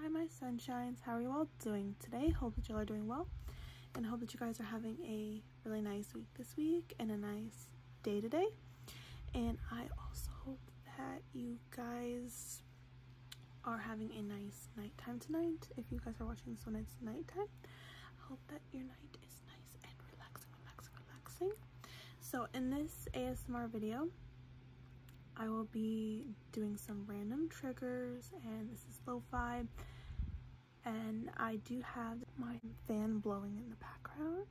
Hi my sunshines, how are you all doing today? Hope that you are doing well and hope that you guys are having a really nice week this week and a nice day today. And I also hope that you guys are having a nice night time tonight. If you guys are watching this when it's nighttime, I hope that your night is nice and relaxing, relaxing, relaxing. So in this ASMR video, I will be doing some random triggers and this is low vibe and I do have my fan blowing in the background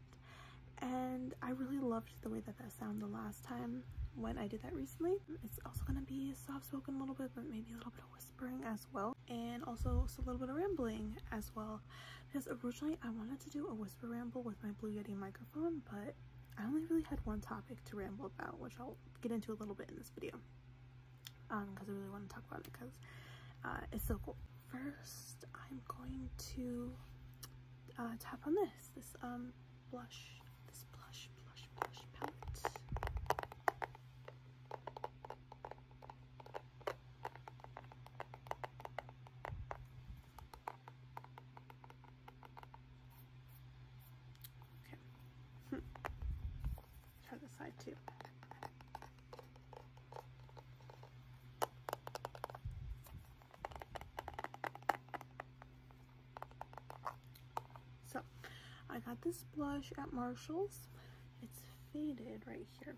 and I really loved the way that that sounded the last time when I did that recently. It's also going to be soft spoken a little bit but maybe a little bit of whispering as well and also a little bit of rambling as well because originally I wanted to do a whisper ramble with my Blue Yeti microphone but I only really had one topic to ramble about, which I'll get into a little bit in this video. because um, I really want to talk about it because uh, it's so cool. First, I'm going to uh, tap on this, this um, blush, this blush, blush, blush palette. Okay. Hmm. Try the side too. So, I got this blush at Marshall's. It's faded right here,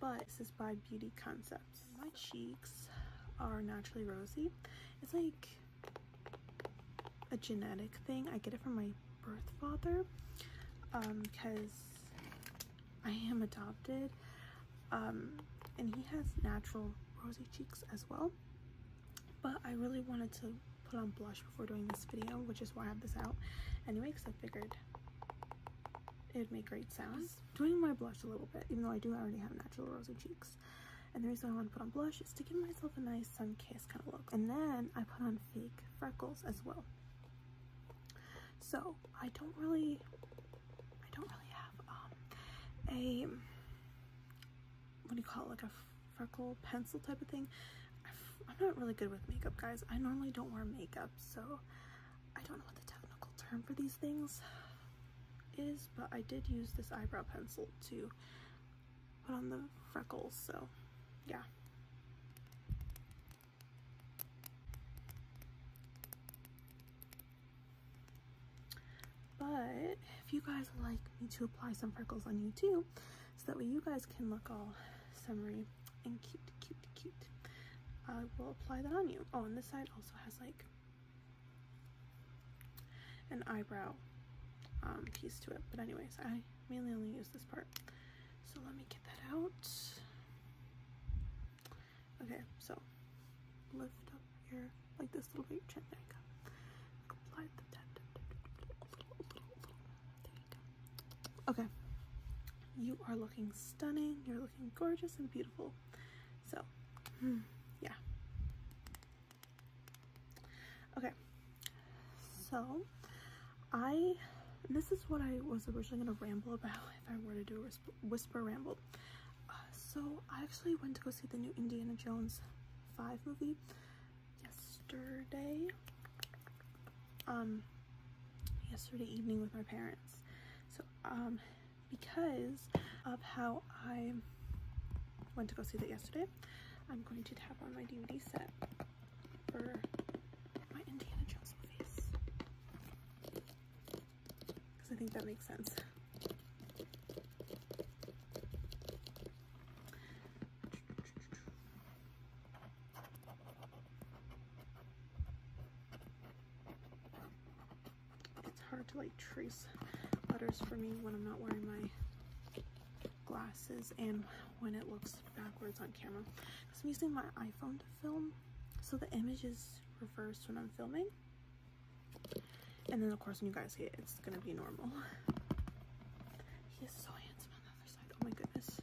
but this is by Beauty Concepts. My cheeks are naturally rosy. It's like a genetic thing. I get it from my birth father because um, I am adopted. Um, and he has natural rosy cheeks as well. But I really wanted to put on blush before doing this video, which is why I have this out anyway, because I figured it would make great sounds. Doing my blush a little bit, even though I do already have natural rosy cheeks. And the reason I want to put on blush is to give myself a nice sun kiss kind of look. And then I put on fake freckles as well. So I don't really, I don't really have um, a, what do you call it, like a freckle pencil type of thing. I'm not really good with makeup, guys. I normally don't wear makeup, so I don't know what the technical term for these things is, but I did use this eyebrow pencil to put on the freckles, so yeah. But if you guys like me to apply some freckles on you too, so that way you guys can look all summery and cute, cute, cute, I will apply that on you. Oh, and this side also has like an eyebrow um, piece to it. But anyways, I mainly only use this part. So let me get that out. Okay, so lift up your, like this little bit, chin, there you go. Okay, you are looking stunning. You're looking gorgeous and beautiful. So, hmm, yeah. Okay, so I, this is what I was originally going to ramble about if I were to do a whisper ramble. Uh, so I actually went to go see the new Indiana Jones 5 movie yesterday. Um, yesterday evening with my parents. So, um, because of how I went to go see that yesterday. I'm going to tap on my DVD set for my Indiana Jones movies. Because I think that makes sense it's hard to like trace letters for me when I'm not wearing my glasses and when it looks backwards on camera because I'm using my iPhone to film so the image is reversed when I'm filming and then of course when you guys see it it's gonna be normal he is so handsome on the other side oh my goodness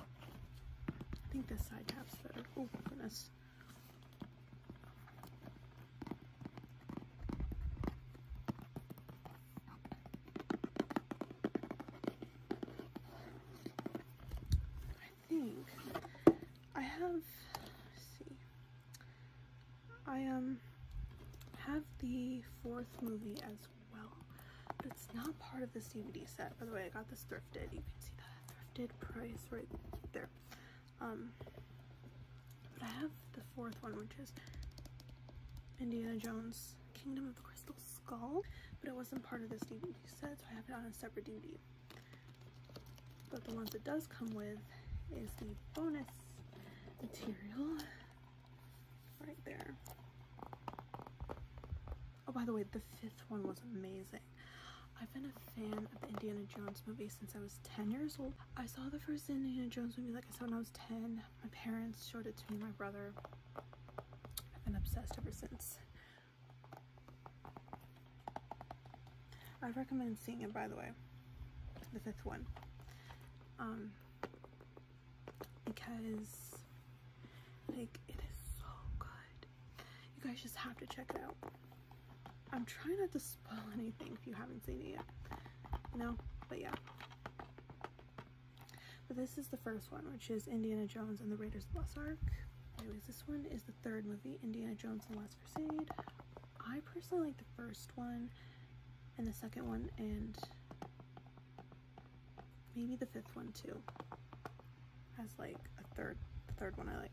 I think this side tab's better. Oh goodness. I think I have see. I um have the fourth movie as well. it's not part of this DVD set. By the way, I got this thrifted. You can see that thrifted price right there. Um, but I have the fourth one, which is Indiana Jones Kingdom of the Crystal Skull. But it wasn't part of this DVD set, so I have it on a separate DVD. But the ones that does come with is the bonus material right there. Oh, by the way, the fifth one was amazing. I've been a fan of the Indiana Jones movie since I was 10 years old. I saw the first Indiana Jones movie, like I said, when I was 10. My parents showed it to me, my brother. I've been obsessed ever since. I recommend seeing it, by the way, the fifth one. Um, because like it is so good. You guys just have to check it out. I'm trying not to spoil anything if you haven't seen it yet. You know? But yeah. But this is the first one, which is Indiana Jones and the Raiders of the Lost Ark. Anyways, this one is the third movie, Indiana Jones and the Last Crusade. I personally like the first one and the second one and Maybe the fifth one too has like a third, third one I like.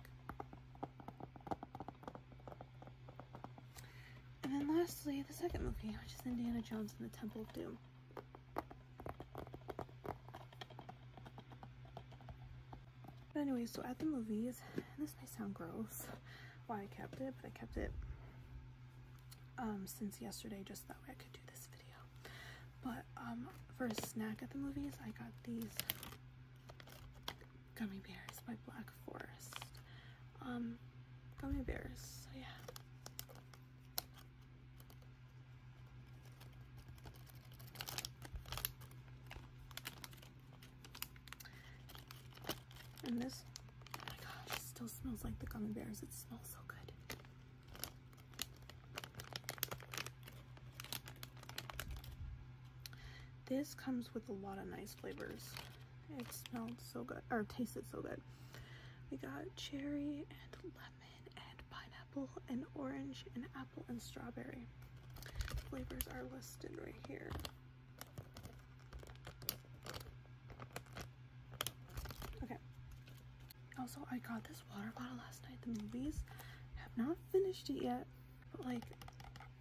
And then lastly, the second movie, which is Indiana Jones and the Temple of Doom. But anyway, so at the movies, this may sound gross why I kept it, but I kept it um, since yesterday just that way I could do this video. But um, for a snack at the movies, I got these gummy bears by Black Forest. Um, gummy bears, so yeah. And this, oh my gosh, still smells like the gummy bears. It smells so good. This comes with a lot of nice flavors. It smelled so good, or tasted so good. We got cherry and lemon and pineapple and orange and apple and strawberry. Flavors are listed right here. Okay. Also, I got this water bottle last night. The movies have not finished it yet, but like,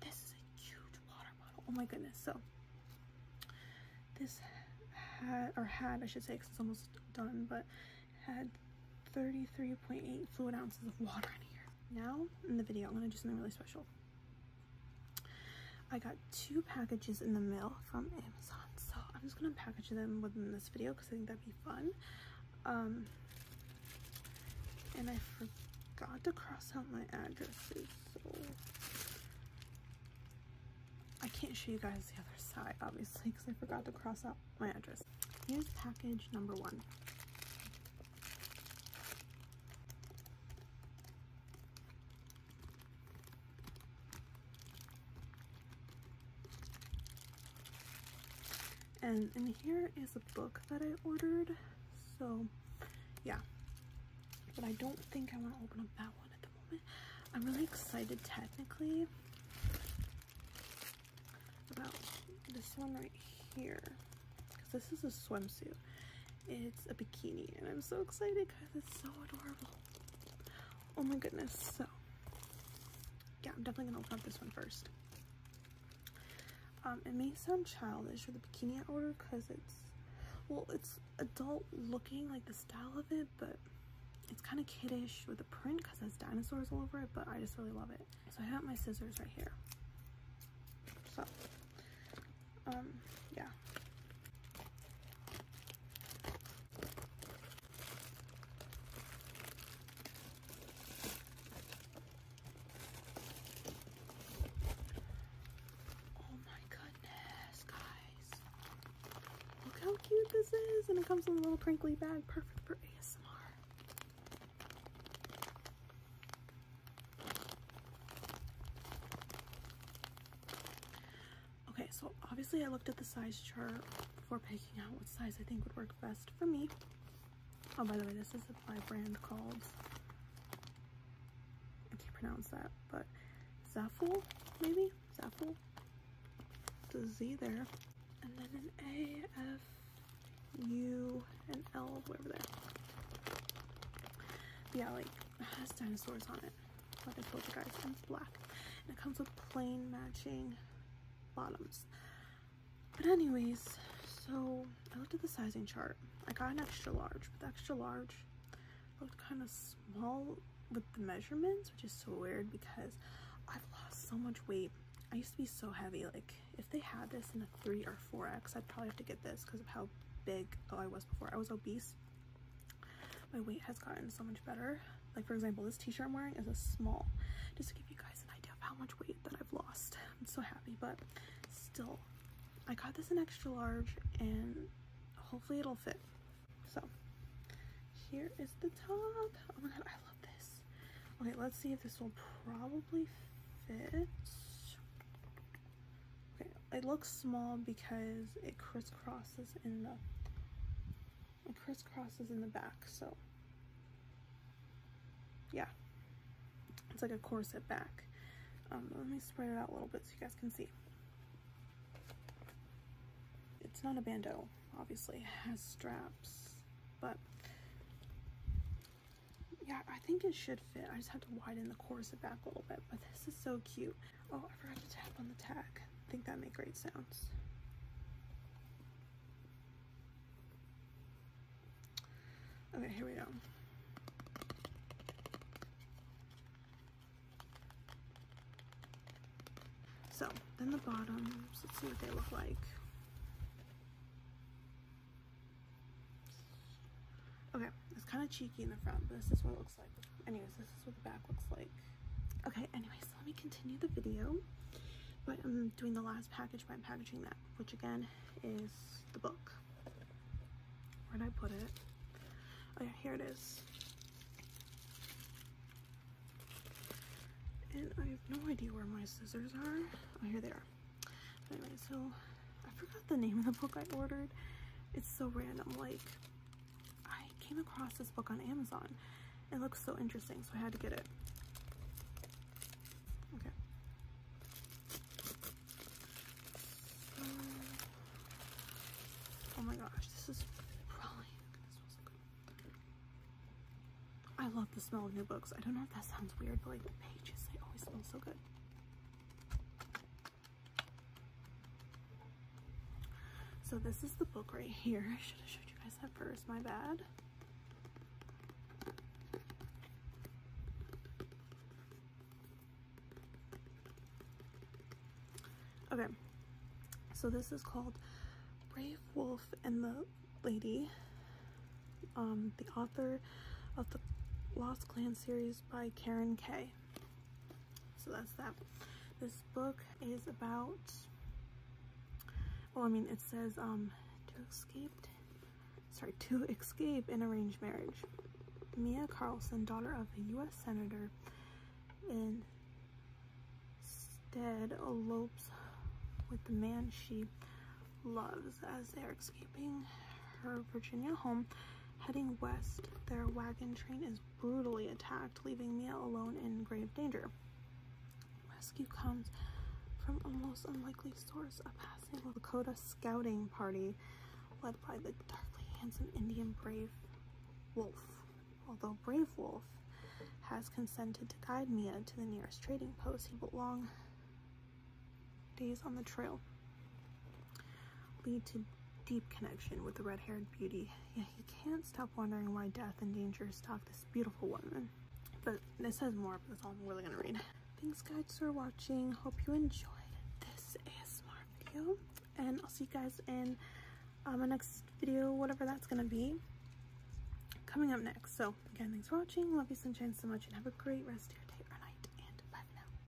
this is a huge water bottle. Oh my goodness. So, this had, or had, I should say, because it's almost done, but had 33.8 fluid ounces of water in here. Now, in the video, I'm going to do something really special. I got two packages in the mail from Amazon, so I'm just gonna package them within this video because I think that'd be fun. Um, and I forgot to cross out my addresses, so I can't show you guys the other side, obviously, because I forgot to cross out my address. Here's package number one. And in here is a book that I ordered. So yeah, but I don't think I want to open up that one at the moment. I'm really excited technically about this one right here because this is a swimsuit it's a bikini and I'm so excited because it's so adorable. Oh my goodness. So yeah, I'm definitely gonna open up this one first. Um, it may sound childish with the bikini I ordered because it's, well, it's adult looking, like the style of it, but it's kind of kiddish with the print because it has dinosaurs all over it, but I just really love it. So I have my scissors right here. So um, yeah. Oh my goodness, guys. Look how cute this is. And it comes in a little crinkly bag, perfect for ASMR. Okay, so obviously I looked at the size chart before picking out what size I think would work best for me. Oh, by the way, this is a brand called, I can't pronounce that, but Zaffle, maybe? Zaffle? The Z there. And then an A, F, U, and L over there. yeah, like, has dinosaurs on it. Like I told you guys, it's black. And it comes with plain matching bottoms. But anyways, so I looked at the sizing chart. I got an extra large, but the extra large looked kind of small with the measurements, which is so weird because I've lost so much weight. I used to be so heavy. Like if they had this in a three or four X, I'd probably have to get this because of how big oh, I was before. I was obese my weight has gotten so much better. Like for example, this t-shirt I'm wearing is a small, just to give you guys an idea of how much weight that I've lost. I'm so happy, but still, I got this in extra large and hopefully it'll fit. So here is the top. Oh my God, I love this. Okay, let's see if this will probably fit. Okay, it looks small because it crisscrosses in the crisscrosses in the back, so yeah. It's like a corset back. Um, let me spread it out a little bit so you guys can see. It's not a bandeau, obviously. It has straps, but yeah, I think it should fit. I just have to widen the corset back a little bit, but this is so cute. Oh, I forgot to tap on the tag. I think that made great sounds. Okay, here we go. So, then the bottoms, let's see what they look like. Okay, it's kind of cheeky in the front, this is what it looks Anyways, this is what the back looks like. Okay, anyways, let me continue the video. But I'm doing the last package by packaging that, which again is the book. Where did I put it? Oh here it is. And I have no idea where my scissors are. Oh, here they are. Anyway, so I forgot the name of the book I ordered. It's so random. Like, I came across this book on Amazon. It looks so interesting, so I had to get it. Okay. oh my gosh, this is probably I love the smell of new books. I don't know if that sounds weird, but like the pages, they always smell so good. So this is the book right here. I should have showed you guys that first, my bad. Okay, so this is called Brave Wolf and the Lady. Um, the author of the Lost Clan series by Karen K so that's that this book is about well oh, i mean it says um to escape sorry to escape an arranged marriage mia carlson daughter of a u.s senator instead elopes with the man she loves as they are escaping her virginia home Heading west, their wagon train is brutally attacked, leaving Mia alone in grave danger. Rescue comes from a most unlikely source, a passing Lakota scouting party led by the darkly handsome Indian brave Wolf. Although Brave Wolf has consented to guide Mia to the nearest trading post, he will long days on the trail lead to deep connection with the red-haired beauty, Yeah, he can't stop wondering why death and danger stalk this beautiful woman. But this has more, that's all I'm really gonna read. Thanks guys for watching. Hope you enjoyed this ASMR video. And I'll see you guys in uh, my next video, whatever that's gonna be, coming up next. So again, thanks for watching. Love you sunshine so much and have a great rest of your day or night. And